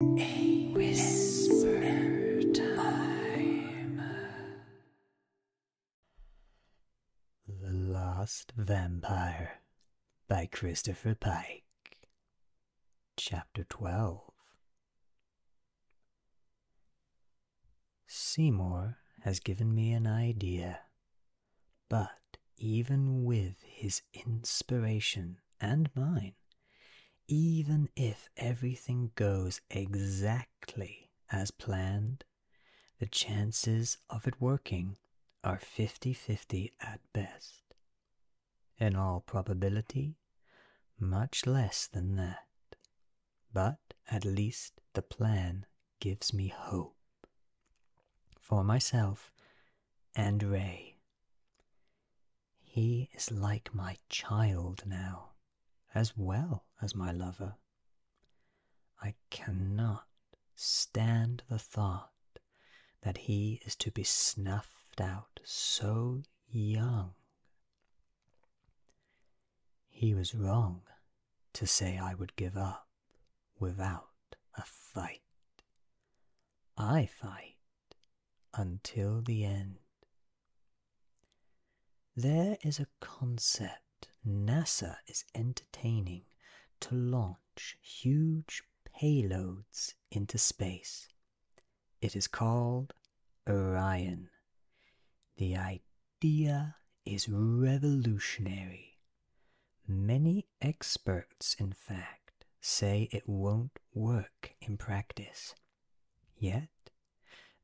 A whisper The Last Vampire by Christopher Pike. Chapter 12 Seymour has given me an idea, but even with his inspiration and mine, even if everything goes exactly as planned, the chances of it working are fifty-fifty at best. In all probability, much less than that. But at least the plan gives me hope. For myself and Ray. He is like my child now, as well as my lover. I cannot stand the thought that he is to be snuffed out so young. He was wrong to say I would give up without a fight. I fight until the end. There is a concept NASA is entertaining to launch huge payloads into space. It is called Orion. The idea is revolutionary. Many experts, in fact, say it won't work in practice Yet,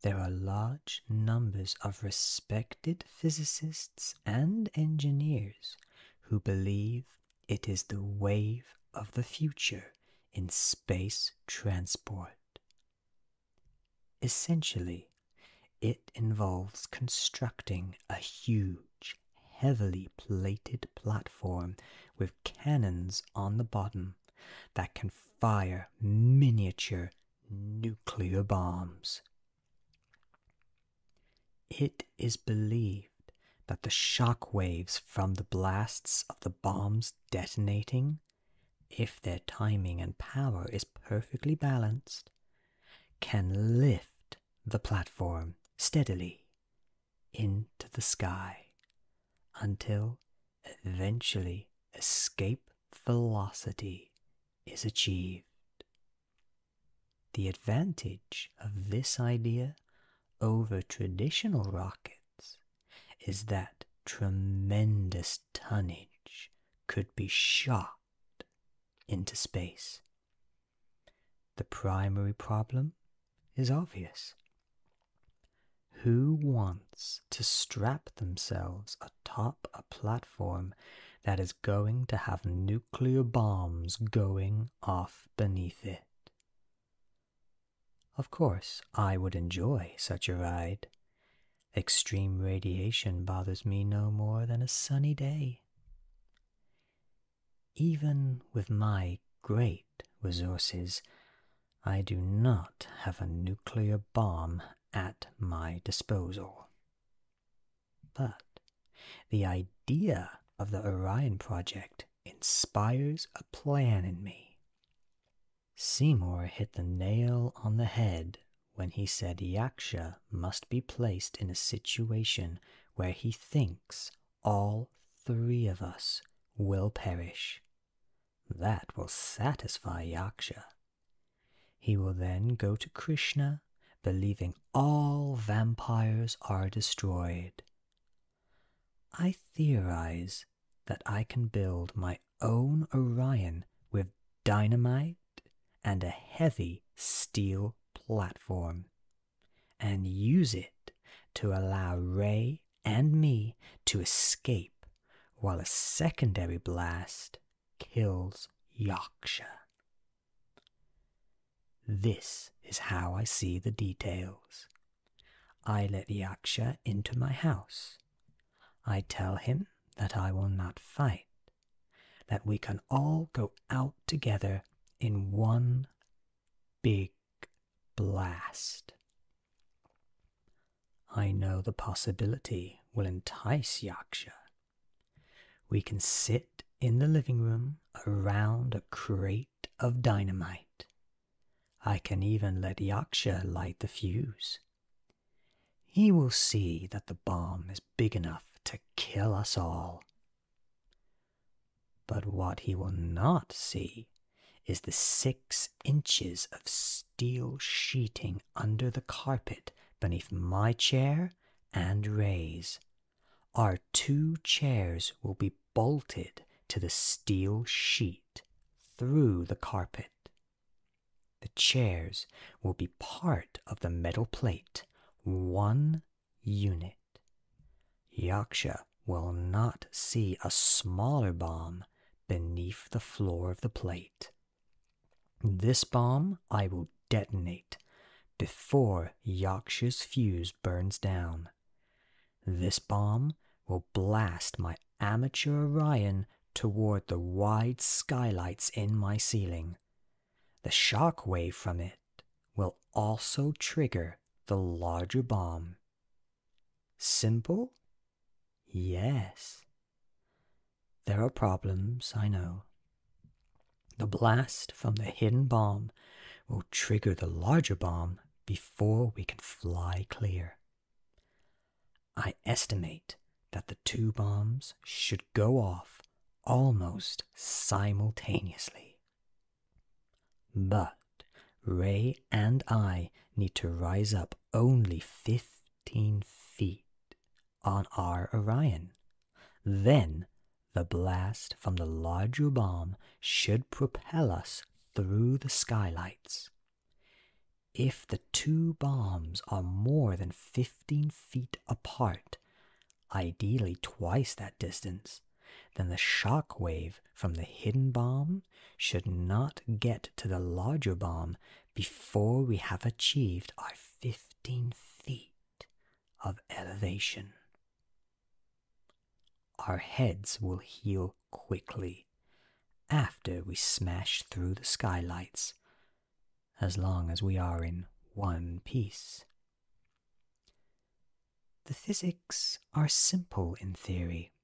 there are large numbers of respected physicists and engineers who believe it is the wave of the future in space transport. Essentially, it involves constructing a huge, heavily plated platform with cannons on the bottom that can fire miniature nuclear bombs. It is believed that the shock waves from the blasts of the bombs detonating, if their timing and power is perfectly balanced, can lift the platform steadily into the sky until eventually escape velocity is achieved. The advantage of this idea over traditional rockets is that tremendous tonnage could be shot into space. The primary problem is obvious. Who wants to strap themselves atop a platform that is going to have nuclear bombs going off beneath it? Of course, I would enjoy such a ride. Extreme radiation bothers me no more than a sunny day. Even with my great resources, I do not have a nuclear bomb at my disposal. But the idea of the Orion Project inspires a plan in me. Seymour hit the nail on the head when he said Yaksha must be placed in a situation where he thinks all three of us will perish that will satisfy Yaksha. He will then go to Krishna, believing all vampires are destroyed. I theorize that I can build my own Orion with dynamite and a heavy steel platform, and use it to allow Ray and me to escape while a secondary blast kills Yaksha. This is how I see the details. I let Yaksha into my house. I tell him that I will not fight, that we can all go out together in one big blast. I know the possibility will entice Yaksha. We can sit in the living room around a crate of dynamite. I can even let Yaksha light the fuse. He will see that the bomb is big enough to kill us all. But what he will not see is the six inches of steel sheeting under the carpet beneath my chair and raise? Our two chairs will be bolted to the steel sheet through the carpet. The chairs will be part of the metal plate, one unit. Yaksha will not see a smaller bomb beneath the floor of the plate. This bomb I will detonate before Yaksha's fuse burns down. This bomb will blast my amateur Orion toward the wide skylights in my ceiling. The shock wave from it will also trigger the larger bomb Simple? Yes. There are problems, I know. The blast from the hidden bomb will trigger the larger bomb before we can fly clear. I estimate that the two bombs should go off almost simultaneously. But Ray and I need to rise up only 15 feet on our Orion. Then the blast from the larger bomb should propel us through the skylights. If the two bombs are more than 15 feet apart, ideally twice that distance, then the shock wave from the hidden bomb should not get to the larger bomb before we have achieved our 15 feet of elevation. Our heads will heal quickly after we smash through the skylights, as long as we are in one piece. The physics are simple in theory.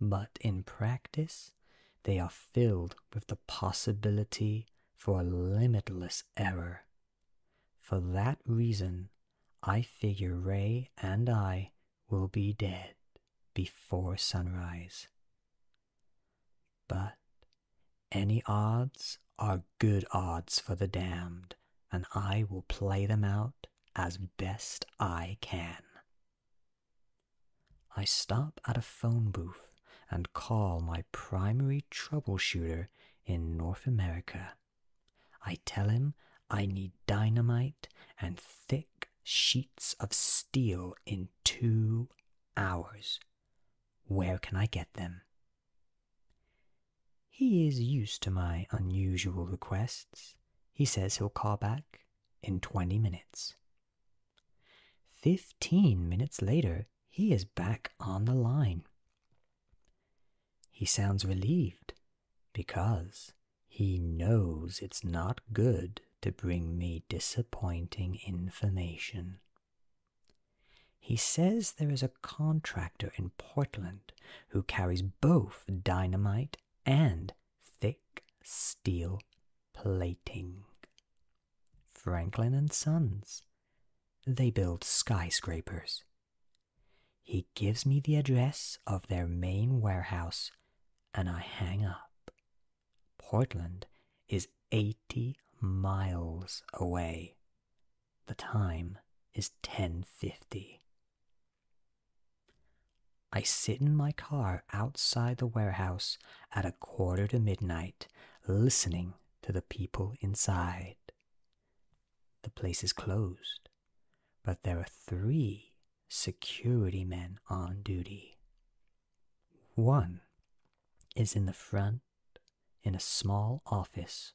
But in practice, they are filled with the possibility for a limitless error. For that reason, I figure Ray and I will be dead before sunrise. But any odds are good odds for the damned, and I will play them out as best I can. I stop at a phone booth and call my primary troubleshooter in North America. I tell him I need dynamite and thick sheets of steel in two hours. Where can I get them? He is used to my unusual requests. He says he'll call back in 20 minutes. 15 minutes later, he is back on the line. He sounds relieved because he knows it's not good to bring me disappointing information. He says there is a contractor in Portland who carries both dynamite and thick steel plating. Franklin and Sons. They build skyscrapers. He gives me the address of their main warehouse and I hang up. Portland is 80 miles away. The time is 10:50. I sit in my car outside the warehouse at a quarter to midnight, listening to the people inside. The place is closed, but there are three security men on duty. One is in the front in a small office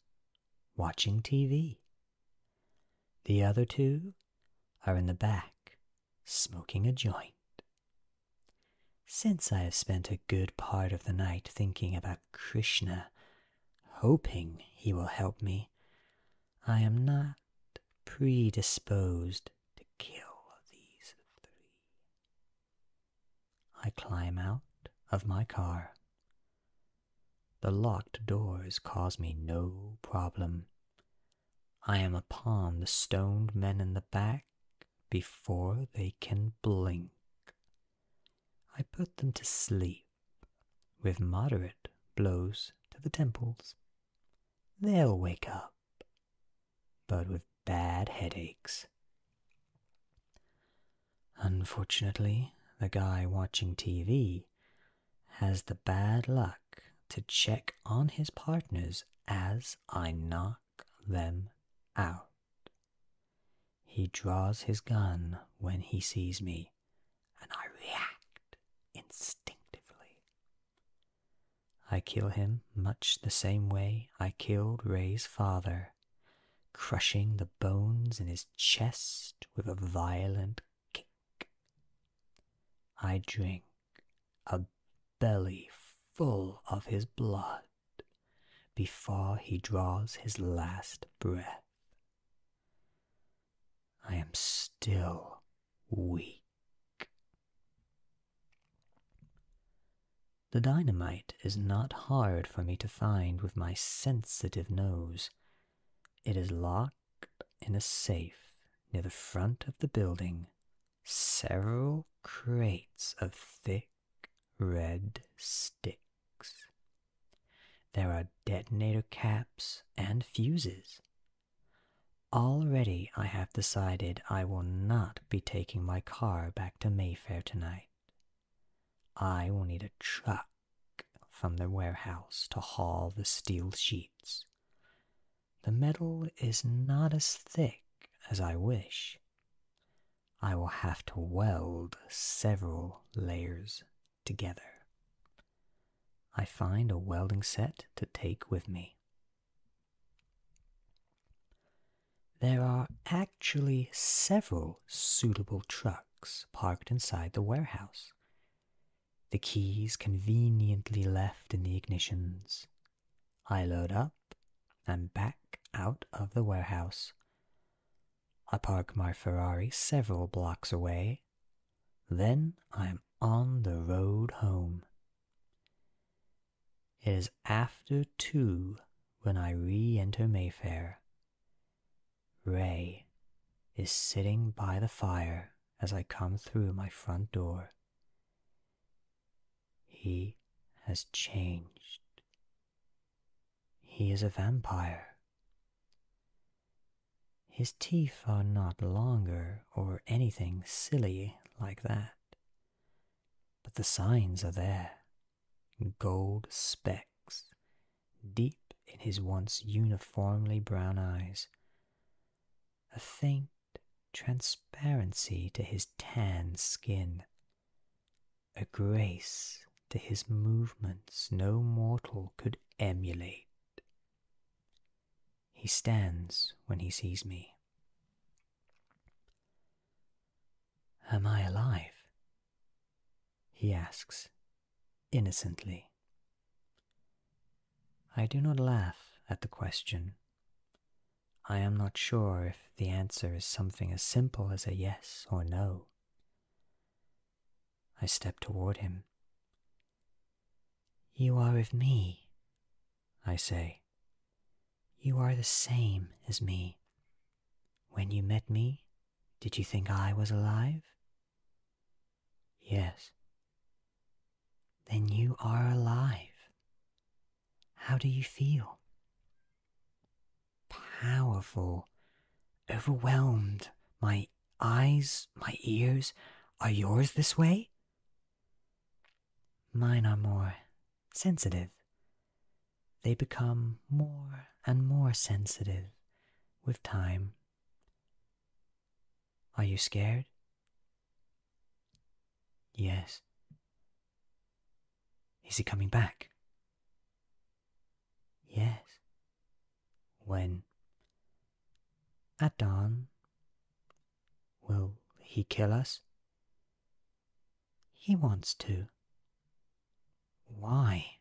watching TV. The other two are in the back, smoking a joint. Since I have spent a good part of the night thinking about Krishna, hoping he will help me, I am not predisposed to kill these three. I climb out of my car. The locked doors cause me no problem. I am upon the stoned men in the back before they can blink. I put them to sleep with moderate blows to the temples. They'll wake up, but with bad headaches. Unfortunately, the guy watching TV has the bad luck to check on his partners as I knock them out. He draws his gun when he sees me, and I react instinctively. I kill him much the same way I killed Ray's father, crushing the bones in his chest with a violent I drink a belly full of his blood before he draws his last breath. I am still weak. The dynamite is not hard for me to find with my sensitive nose. It is locked in a safe near the front of the building several crates of thick red sticks. There are detonator caps and fuses. Already I have decided I will not be taking my car back to Mayfair tonight. I will need a truck from the warehouse to haul the steel sheets. The metal is not as thick as I wish. I will have to weld several layers together. I find a welding set to take with me. There are actually several suitable trucks parked inside the warehouse, the keys conveniently left in the ignitions. I load up and back out of the warehouse. I park my Ferrari several blocks away. Then I am on the road home. It is after two when I re enter Mayfair. Ray is sitting by the fire as I come through my front door. He has changed. He is a vampire. His teeth are not longer or anything silly like that. But the signs are there gold specks, deep in his once uniformly brown eyes. A faint transparency to his tanned skin, a grace to his movements no mortal could emulate. He stands when he sees me. Am I alive? He asks, innocently, I do not laugh at the question. I am not sure if the answer is something as simple as a yes or no. I step toward him. You are with me, I say. You are the same as me. When you met me, did you think I was alive? Yes. Then you are alive. How do you feel? Powerful, overwhelmed. My eyes, my ears, are yours this way? Mine are more sensitive. They become more and more sensitive with time. Are you scared? Yes. Is he coming back? Yes. When? At dawn. Will he kill us? He wants to. Why?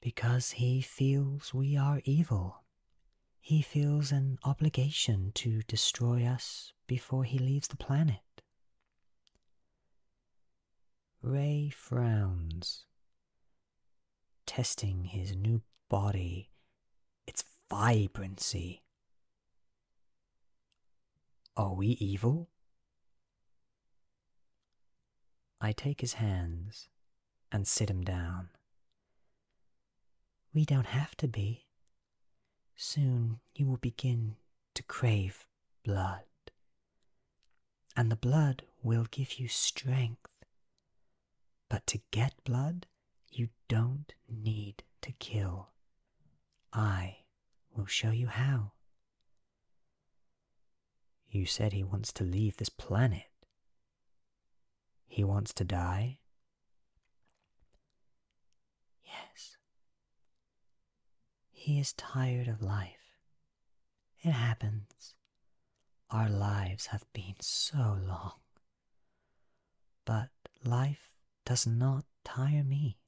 because he feels we are evil. He feels an obligation to destroy us before he leaves the planet. Ray frowns, testing his new body, its vibrancy. Are we evil? I take his hands and sit him down. We don't have to be. Soon you will begin to crave blood, and the blood will give you strength. But to get blood, you don't need to kill. I will show you how. You said he wants to leave this planet. He wants to die? Yes. He is tired of life. It happens. Our lives have been so long. But life does not tire me.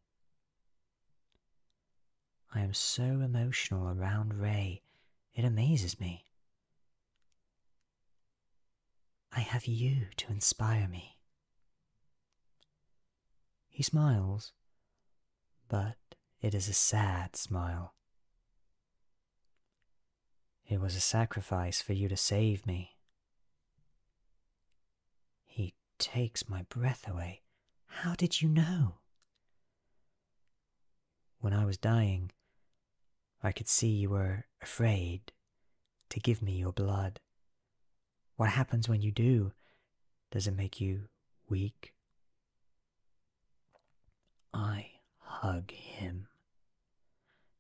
I am so emotional around Ray, it amazes me. I have you to inspire me. He smiles, but it is a sad smile. It was a sacrifice for you to save me. He takes my breath away. How did you know? When I was dying, I could see you were afraid to give me your blood. What happens when you do? Does it make you weak? I hug him,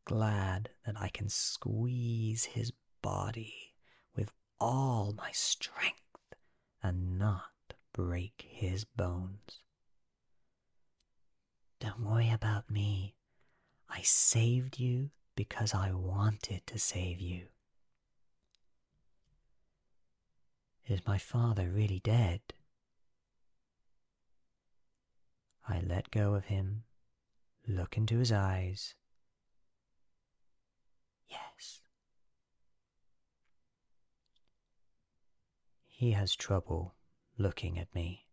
glad that I can squeeze his body with all my strength and not break his bones. Don't worry about me. I saved you because I wanted to save you. Is my father really dead? I let go of him, look into his eyes. Yes. He has trouble looking at me.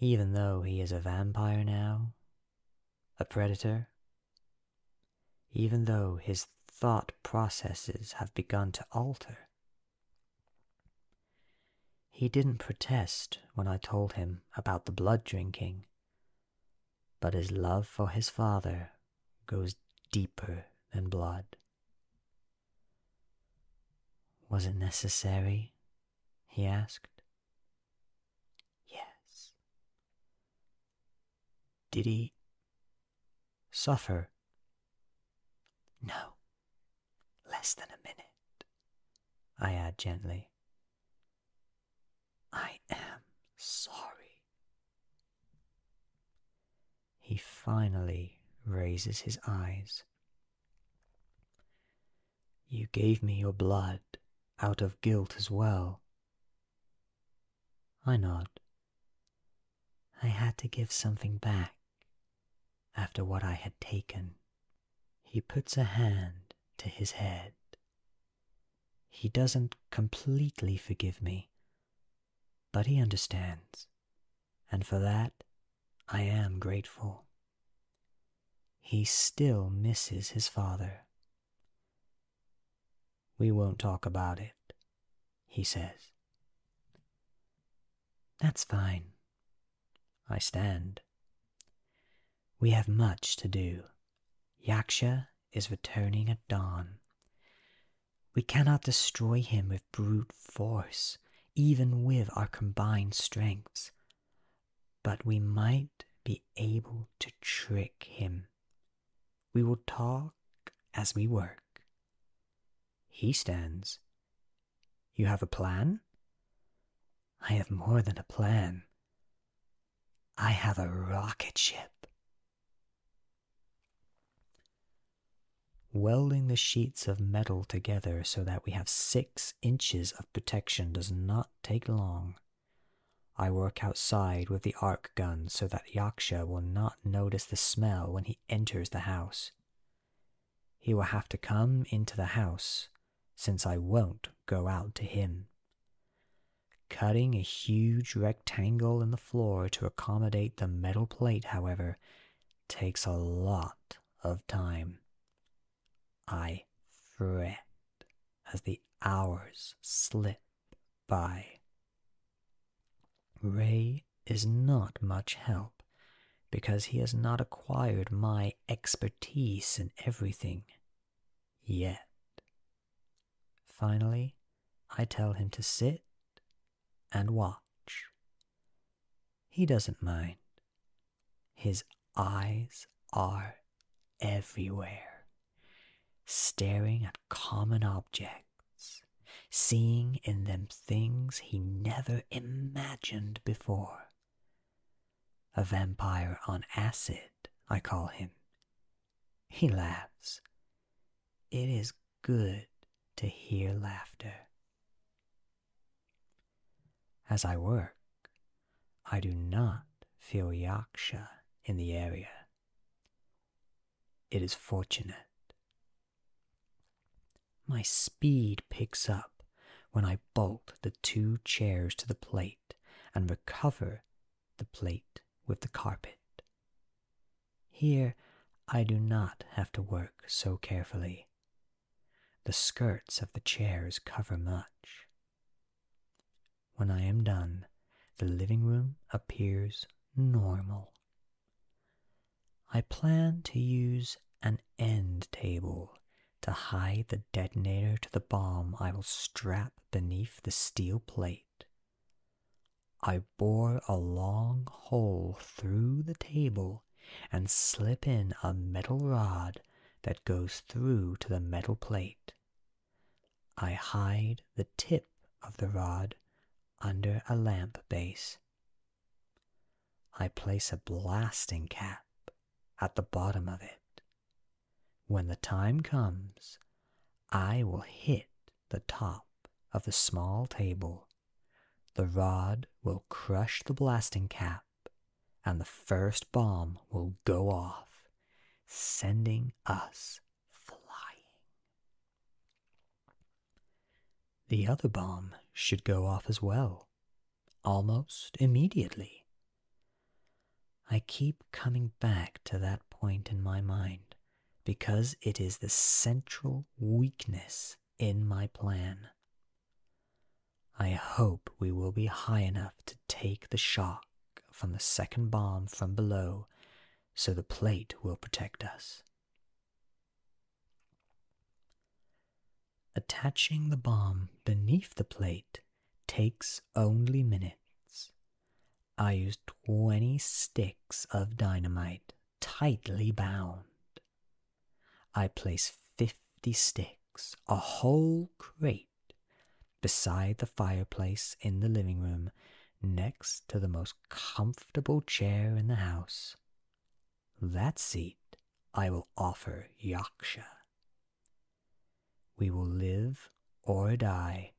Even though he is a vampire now, a predator, even though his thought processes have begun to alter. He didn't protest when I told him about the blood drinking, but his love for his father goes deeper than blood. Was it necessary? he asked. Yes. Did he suffer? No. Less than a minute, I add gently. I am sorry he finally raises his eyes. You gave me your blood out of guilt as well. I nod. I had to give something back after what I had taken. He puts a hand to his head. He doesn't completely forgive me, but he understands and for that I am grateful. He still misses his father. We won't talk about it, he says. That's fine. I stand. We have much to do. Yaksha is returning at dawn. We cannot destroy him brute force, even with our combined strengths. But we might be able to trick him. We will talk as we work. He stands. You have a plan? I have more than a plan. I have a rocket ship. Welding the sheets of metal together so that we have six inches of protection does not take long. I work outside with the arc gun so that Yaksha will not notice the smell when he enters the house. He will have to come into the house, since I won't go out to him. Cutting a huge rectangle in the floor to accommodate the metal plate, however, takes a lot of time. I fret as the hours slip by. Ray is not much help because he has not acquired my expertise in everything yet. Finally, I tell him to sit and watch. He doesn't mind. His eyes are everywhere, staring at common objects, seeing in them things he never imagined before. A vampire on acid, I call him. He laughs. It is good to hear laughter. As I work, I do not feel yaksha in the area. It is fortunate. My speed picks up when I bolt the two chairs to the plate and recover the plate with the carpet. Here I do not have to work so carefully the skirts of the chairs cover much. When I am done, the living room appears normal. I plan to use an end table to hide the detonator to the bomb I will strap beneath the steel plate. I bore a long hole through the table and slip in a metal rod that goes through to the metal plate. I hide the tip of the rod under a lamp base. I place a blasting cap at the bottom of it. When the time comes, I will hit the top of the small table the rod will crush the blasting cap, and the first bomb will go off, sending us flying. The other bomb should go off as well, almost immediately. I keep coming back to that point in my mind because it is the central weakness in my plan. I hope we will be high enough to take the shock from the second bomb from below, so the plate will protect us. Attaching the bomb beneath the plate takes only minutes. I used 20 sticks of dynamite tightly bound. I place fifty sticks, a whole crate, beside the fireplace in the living room, next to the most comfortable chair in the house. That seat I will offer Yaksha. We will live or die,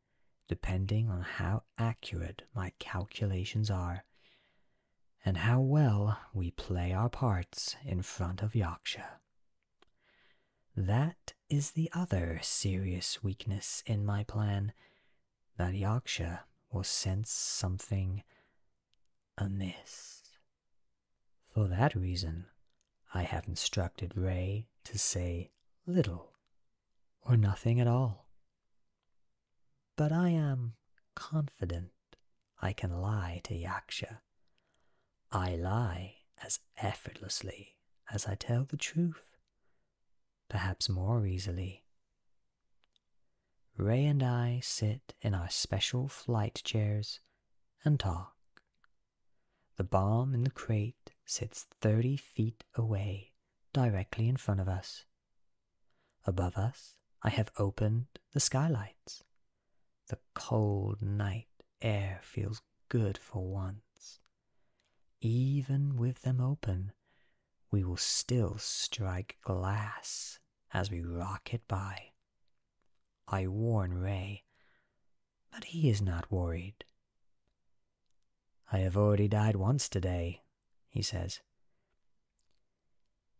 depending on how accurate my calculations are, and how well we play our parts in front of Yaksha. That is the other serious weakness in my plan that Yaksha will sense something amiss. For that reason, I have instructed Ray to say little or nothing at all. But I am confident I can lie to Yaksha. I lie as effortlessly as I tell the truth, perhaps more easily. Ray and I sit in our special flight chairs and talk. The bomb in the crate sits 30 feet away, directly in front of us. Above us, I have opened the skylights the cold night air feels good for once. Even with them open, we will still strike glass as we rock it by. I warn Ray, but he is not worried. I have already died once today, he says.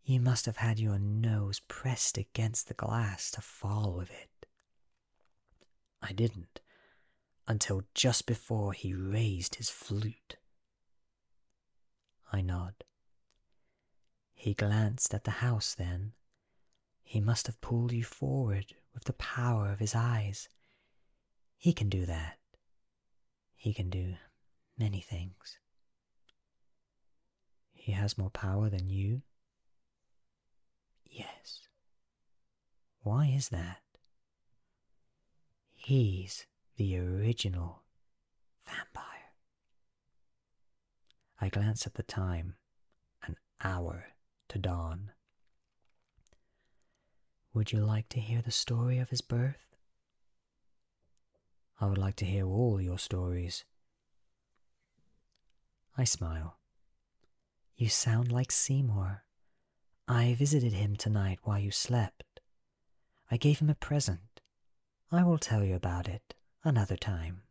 You must have had your nose pressed against the glass to fall with it. I didn't, until just before he raised his flute. I nod. He glanced at the house then. He must have pulled you forward with the power of his eyes. He can do that. He can do many things. He has more power than you? Yes. Why is that? He's the original vampire. I glance at the time an hour to dawn. Would you like to hear the story of his birth? I would like to hear all your stories. I smile. You sound like Seymour. I visited him tonight while you slept. I gave him a present. I will tell you about it another time.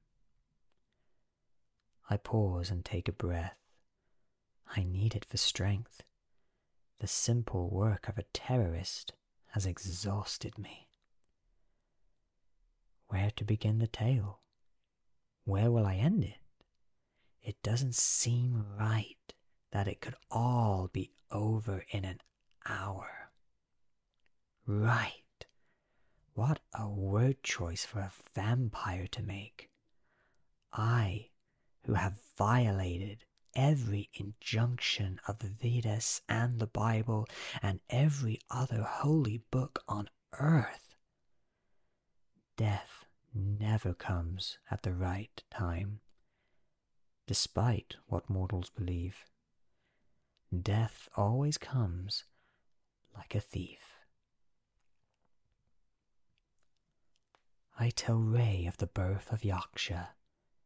I pause and take a breath. I need it for strength. The simple work of a terrorist has exhausted me. Where to begin the tale? Where will I end it? It doesn't seem right that it could all be over in an hour. Right. What a word choice for a vampire to make. I, who have violated every injunction of the Vedas and the Bible and every other holy book on earth. Death never comes at the right time, despite what mortals believe. Death always comes like a thief. I tell Ray of the birth of Yorkshire,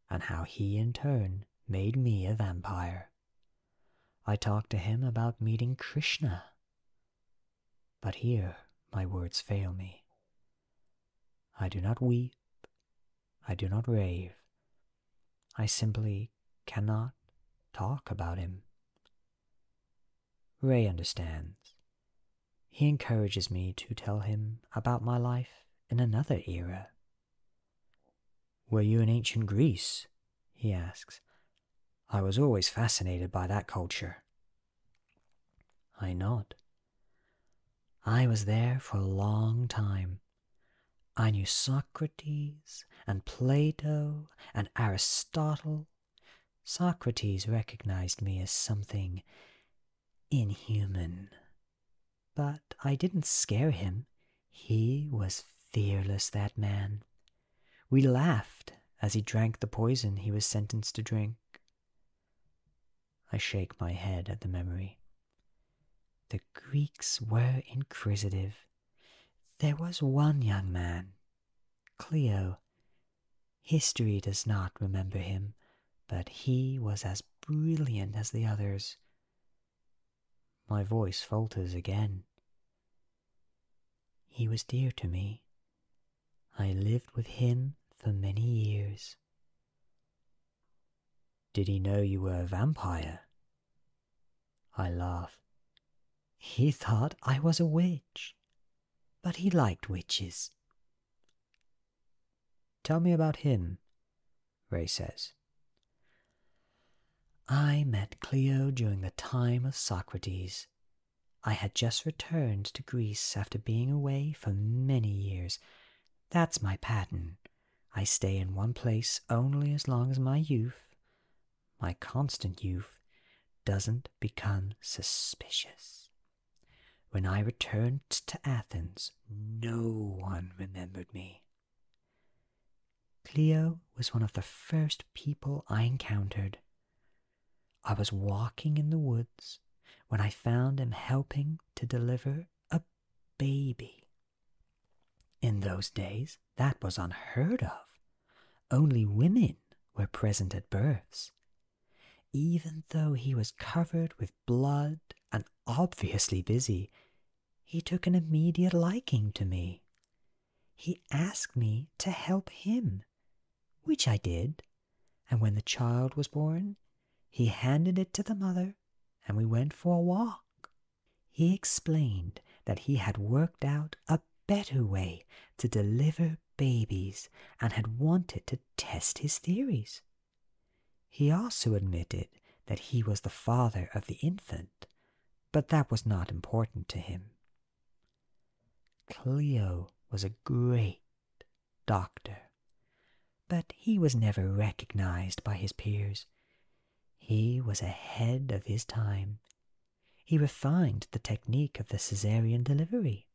and how he in turn made me a vampire. I talked to him about meeting Krishna. But here my words fail me. I do not weep. I do not rave. I simply cannot talk about him. Ray understands. He encourages me to tell him about my life in another era were you in ancient Greece? he asks. I was always fascinated by that culture. I nod. I was there for a long time. I knew Socrates and Plato and Aristotle. Socrates recognized me as something inhuman. But I didn't scare him. He was fearless, that man. We laughed as he drank the poison he was sentenced to drink. I shake my head at the memory. The Greeks were inquisitive. There was one young man, Clio. History does not remember him, but he was as brilliant as the others. My voice falters again. He was dear to me. I lived with him for many years. Did he know you were a vampire? I laugh. He thought I was a witch, but he liked witches. Tell me about him. Ray says. I met Clio during the time of Socrates. I had just returned to Greece after being away for many years. That's my pattern. I stay in one place only as long as my youth, my constant youth, doesn't become suspicious. When I returned to Athens, no one remembered me. Cleo was one of the first people I encountered. I was walking in the woods when I found him helping to deliver a baby. In those days, that was unheard of. Only women were present at births. Even though he was covered with blood and obviously busy, he took an immediate liking to me. He asked me to help him, which I did, and when the child was born, he handed it to the mother and we went for a walk. He explained that he had worked out a better way to deliver babies and had wanted to test his theories. He also admitted that he was the father of the infant but that was not important to him. Clio was a great doctor, but he was never recognized by his peers. He was ahead of his time. He refined the technique of the caesarean delivery.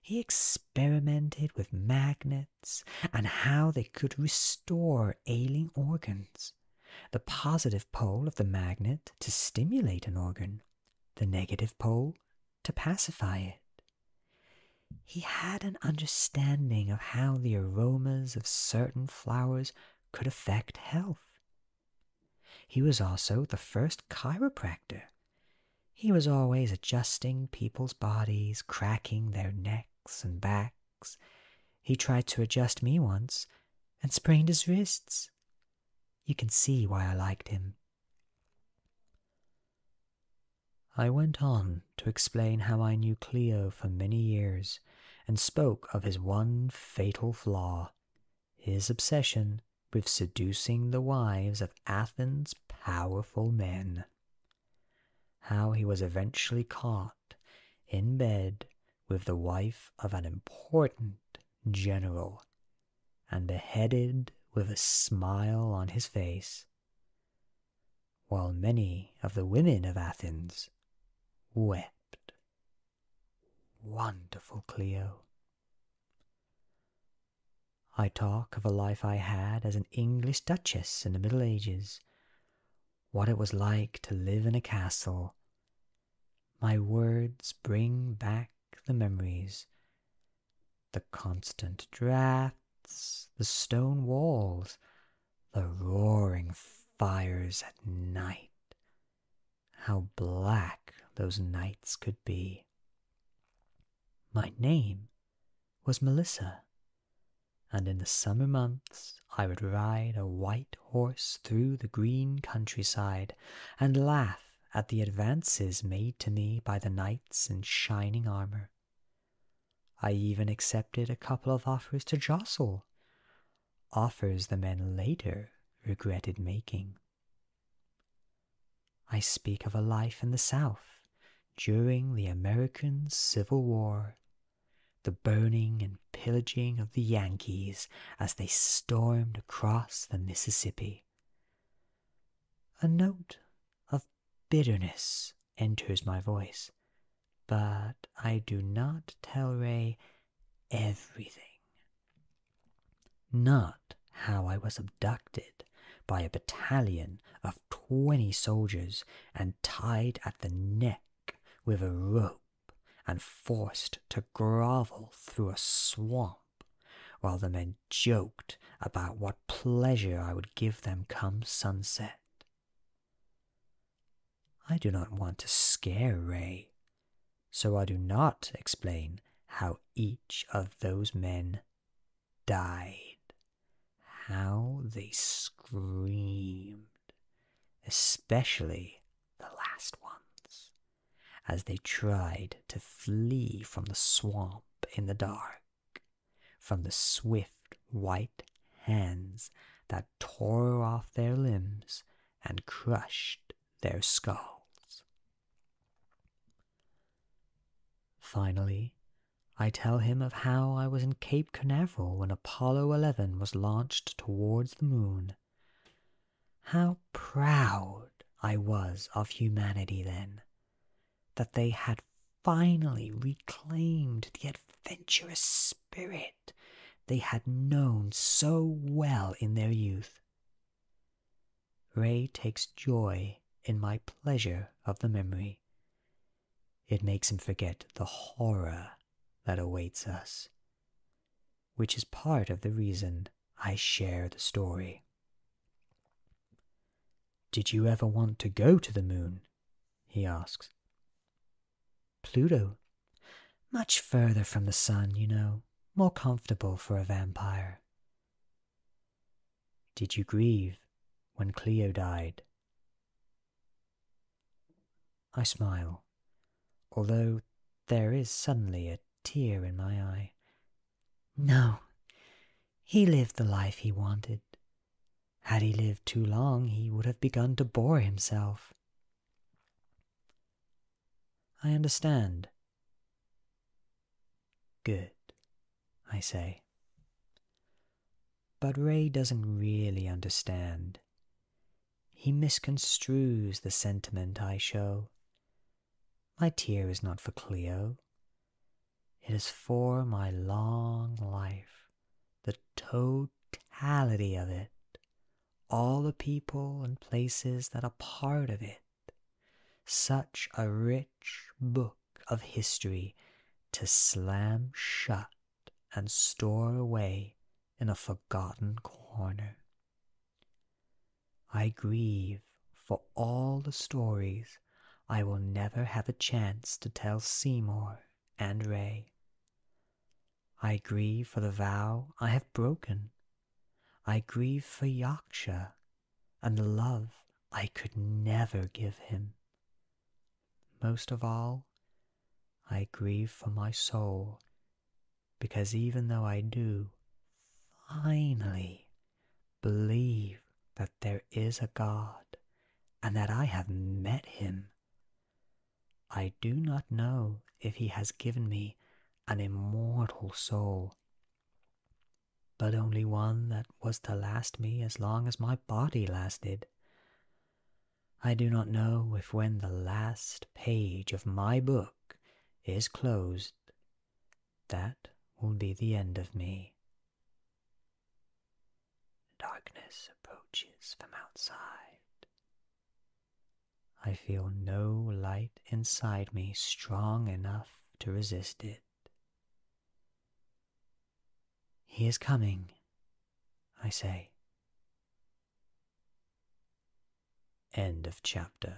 He experimented with magnets and how they could restore ailing organs the positive pole of the magnet to stimulate an organ, the negative pole to pacify it. He had an understanding of how the aromas of certain flowers could affect health. He was also the first chiropractor. He was always adjusting people's bodies, cracking their necks and backs he tried to adjust me once and sprained his wrists. You can see why I liked him. I went on to explain how I knew Clio for many years and spoke of his one fatal flaw his obsession with seducing the wives of Athens' powerful men. How he was eventually caught in bed with the wife of an important general and beheaded with a smile on his face, while many of the women of Athens wept. Wonderful Clio. I talk of a life I had as an English duchess in the Middle Ages, what it was like to live in a castle. My words bring back the memories the constant drafts, the stone walls, the roaring fires at night. How black those nights could be. My name was Melissa, and in the summer months I would ride a white horse through the green countryside, and laugh at the advances made to me by the knights in shining armor. I even accepted a couple of offers to jostle, offers the men later regretted making. I speak of a life in the South during the American Civil War the burning and pillaging of the Yankees as they stormed across the Mississippi. A note of bitterness enters my voice, but I do not tell Ray everything. Not how I was abducted by a battalion of twenty soldiers and tied at the neck with a rope and forced to grovel through a swamp while the men joked about what pleasure I would give them come sunset. I do not want to scare Ray, so I do not explain how each of those men died, how they screamed especially the last ones, as they tried to flee from the swamp in the dark, from the swift white hands that tore off their limbs and crushed their skulls. Finally, I tell him of how I was in Cape Canaveral when Apollo 11 was launched towards the moon how proud I was of humanity then, that they had finally reclaimed the adventurous spirit they had known so well in their youth. Ray takes joy in my pleasure of the memory. It makes him forget the horror that awaits us, which is part of the reason I share the story. Did you ever want to go to the moon? he asks. Pluto. Much further from the sun, you know, more comfortable for a vampire. Did you grieve when Clio died? I smile, although there is suddenly a tear in my eye. No, he lived the life he wanted. Had he lived too long, he would have begun to bore himself. I understand. Good, I say. But Ray doesn't really understand. He misconstrues the sentiment I show. My tear is not for Clio, it is for my long life, the totality of it, all the people and places that are part of it. Such a rich book of history to slam shut and store away in a forgotten corner. I grieve for all the stories I will never have a chance to tell Seymour and Ray. I grieve for the vow I have broken. I grieve for Yorkshire and the love I could never give him. Most of all, I grieve for my soul because even though I do finally believe that there is a God and that I have met him, I do not know if he has given me an immortal soul, but only one that was to last me as long as my body lasted. I do not know if when the last page of my book is closed, that will be the end of me. Darkness approaches from outside. I feel no light inside me strong enough to resist it. He is coming, I say. End of chapter.